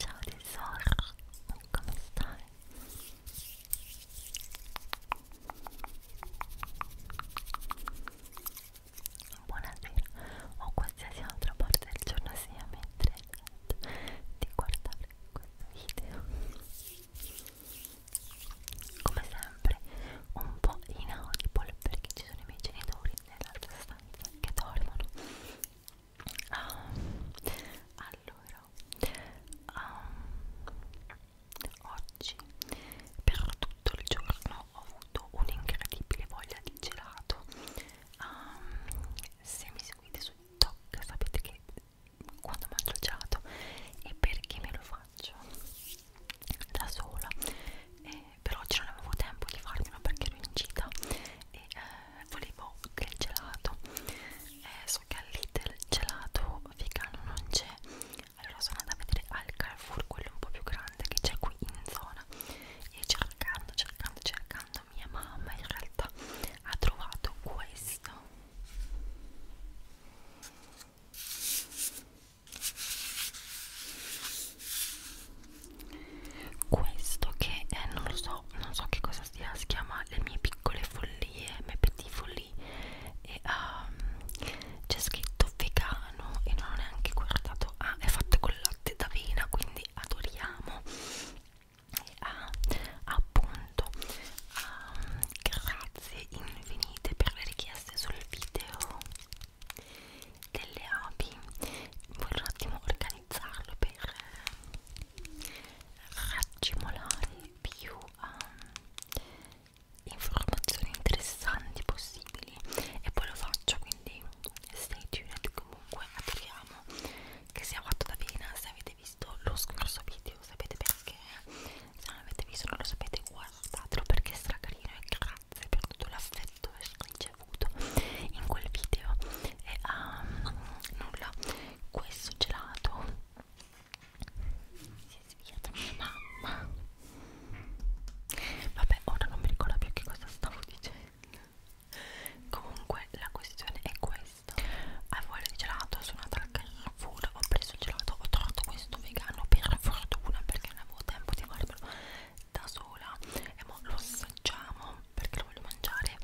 Ciao tesoro, come stai? Buonasera o qualsiasi altra parte del giorno sia mentre di guardare questo video. Come sempre un po' inaudible perché ci sono i miei genitori nell'altra stanza che dormono um, allora um, oggi per tutto il giorno ho avuto un'incredibile voglia di gelato um, se mi seguite su TikTok sapete che quando mangio il gelato e perché me lo faccio da sola e per oggi non avevo tempo di farli ma perché ero in gita e eh, volevo del gelato eh, so che al Lidl gelato vegano non c'è allora sono andata a vedere al Carrefour quello un po' più grande che c'è qui in zona e cercando cercando cercando mia mamma in realtà ha trovato questo questo che eh, non lo so non so che cosa sia si chiama le mie piccole follie me petit follie e um, c'è scritto vegano e non ho neanche guardato ah è fatto con latte d'avena quindi adoriamo e ah, appunto um, grazie infinite per le richieste sul video delle api voglio un attimo organizzarlo per eh, raccimolare più um, informazioni interessanti possibili e poi lo faccio quindi stay tuned comunque adoriamo che sia fatto da Vena se avete visto lo scorso video sapete perché se non l'avete visto non lo sapete guardatelo perché è stracarino e grazie per tutto l'affetto prodotto e ricevuto in quel video e um, nulla questo gelato si è svegliata mia mamma vabbè ora non mi ricordo più che cosa stavo dicendo comunque la questione è questa avevo voglia di gelato sono andata al Carrefour ho preso il gelato ho trovato questo vegano per fortuna perché non avevo tempo di farmelo da sola e mo lo assaggiamo perché lo voglio mangiare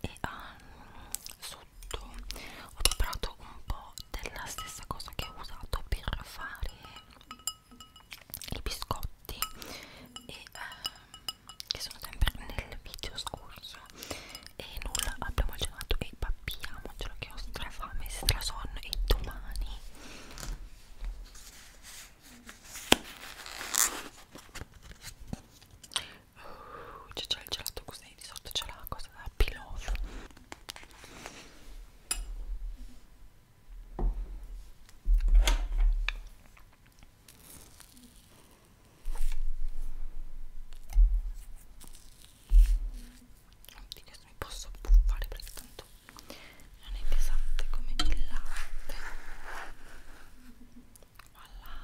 e um, sotto ho preparato un po' della stessa cosa che ho usato per fare i biscotti e, um, che sono sempre nel video scorso e nulla abbiamo gelato e pappiamocelo che ho strafame, strasonno e domani Uh, c'è già il gelato così di sotto c'è la cosa da pillow Oddio, mi posso buffare perché tanto affatto non è pesante come il latte voilà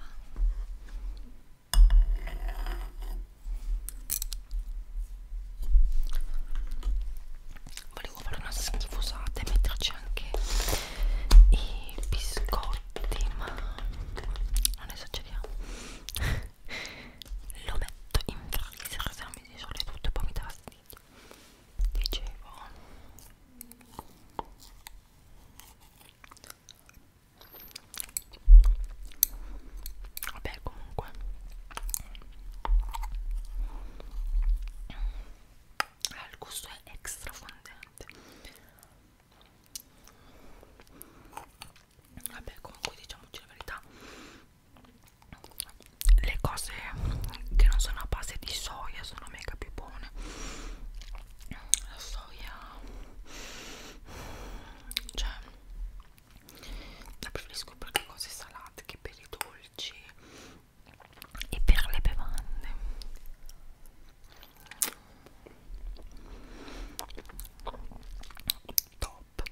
volevo fare una schifosata e metterci anche i biscotti ma non esageriamo lo metto in freezer se non mi si sole tutto e poi mi dà fastidio dicevo vabbè comunque ah, il gusto è extra fondente vabbè comunque diciamoci la verità le cose che non sono a base di soia sono mega più buone la soia cioè la preferisco per le cose salate che per i dolci e per le bevande top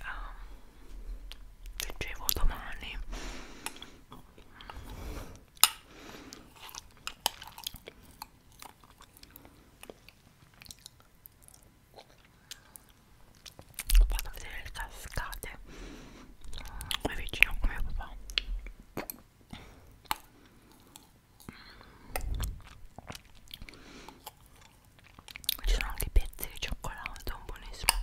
um, leggevo domani Vado a vedere le cascate. È vicino come papà. Ci sono anche i pezzi di cioccolato, buonissimo.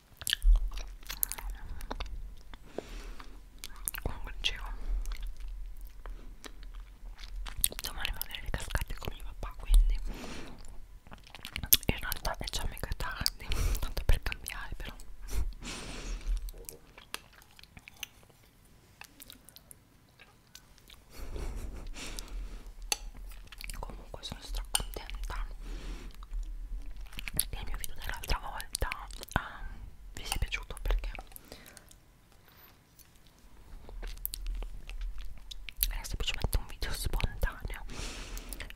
comunque dicevo domani vado a vedere le cascate con mio papà quindi in realtà è già mega tardi tanto per cambiare però comunque so sono stracontenta il mio video dell'altra volta um, vi sia piaciuto perché era semplicemente un video spontaneo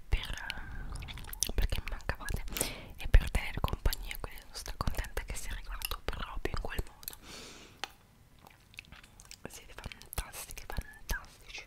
per, um, perché mi mancavate e per tenere compagnia quindi sono stracontenta che sia arrivato proprio in quel modo siete fantastiche fantastici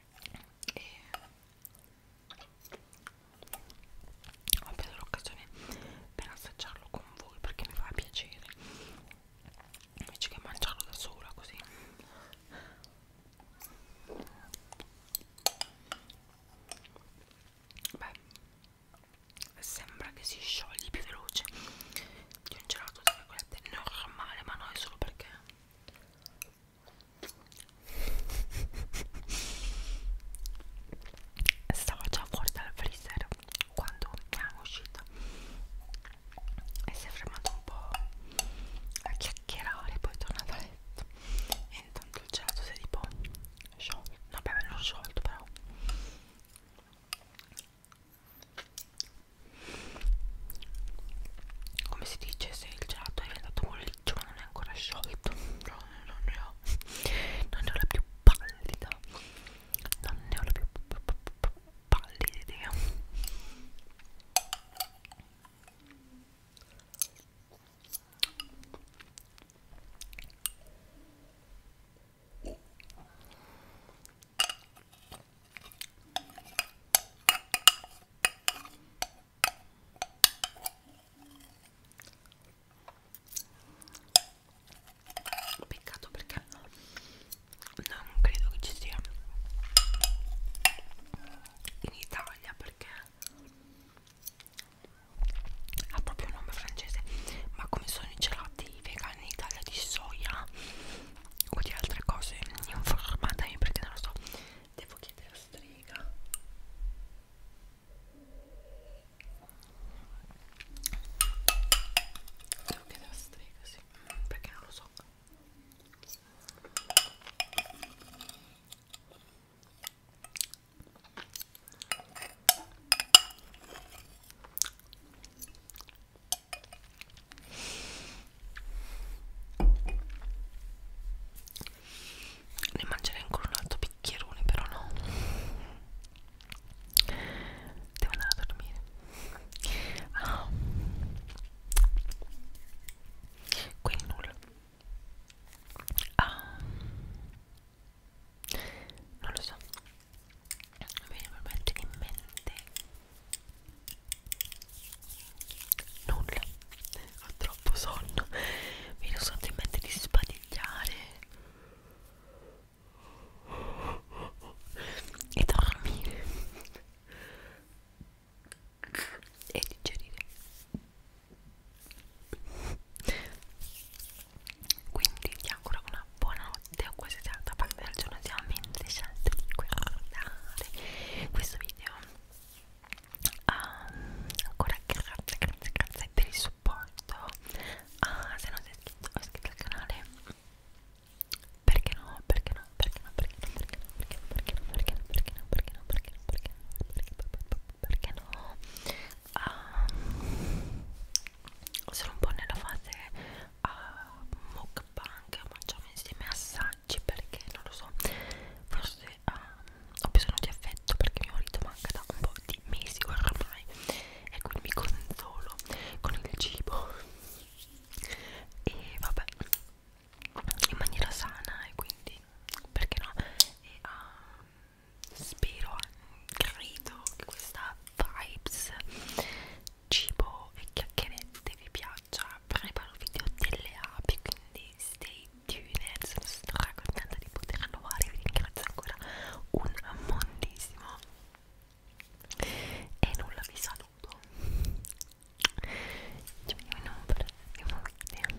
e ho preso l'occasione per assaggiarlo con voi perché mi fa piacere invece che mangiarlo da sola così beh sembra che si sciogli più veloce di un gelato di cioccolato normale ma no è solo perché stavo già fuori dal freezer quando è uscita e si è fermato un po' a chiacchierare poi è tornato a letto e intanto il gelato si è tipo sciolto vabbè me l'ho sciolto però come si dice se il gelato è andato molliccio ma non è ancora sciolto no, no, no, no. non ne ho la più pallida non ne ho la più pallida idea Peccato perché no, non credo che ci sia in Italia perché ha proprio un nome francese. Ma come sono i gelati vegani in Italia di soia? o di altre cose informata io perché non lo so devo chiedere a strega devo chiedere a strega sì perché non lo so ne mangerei ancora un altro bicchierone però no devo andare a dormire ah. quindi nulla ah. non lo so mi viene veramente in mente nulla ho troppo sonno mi ero sotto in mente di spadigliare e dormire e digerire quindi ti auguro una buona notte o quasi tarda parte del giorno ti amo scelto di guardare questo video um, ancora grazie grazie grazie per il supporto uh, se non sei iscritto o iscritto al canale perché no perché no perché no perché no perché no perché no perché no perché no perché no perché no perché no perché no perché no Um, sono un po' nella fase uh, mukbang mangiamo insieme assaggi perché non lo so forse uh, ho bisogno di affetto perché mio marito manca da un po' di mesi ormai e quindi mi consolo con il cibo e vabbè in maniera sana e quindi perché no e, uh, spero credo che questa vibes cibo e chiacchierette vi piaccia preparo video delle api quindi stay tuned sono stracontenta di poterlo fare vi ringrazio ancora un montissimo e nulla vi saluto ci vediamo in un prossimo video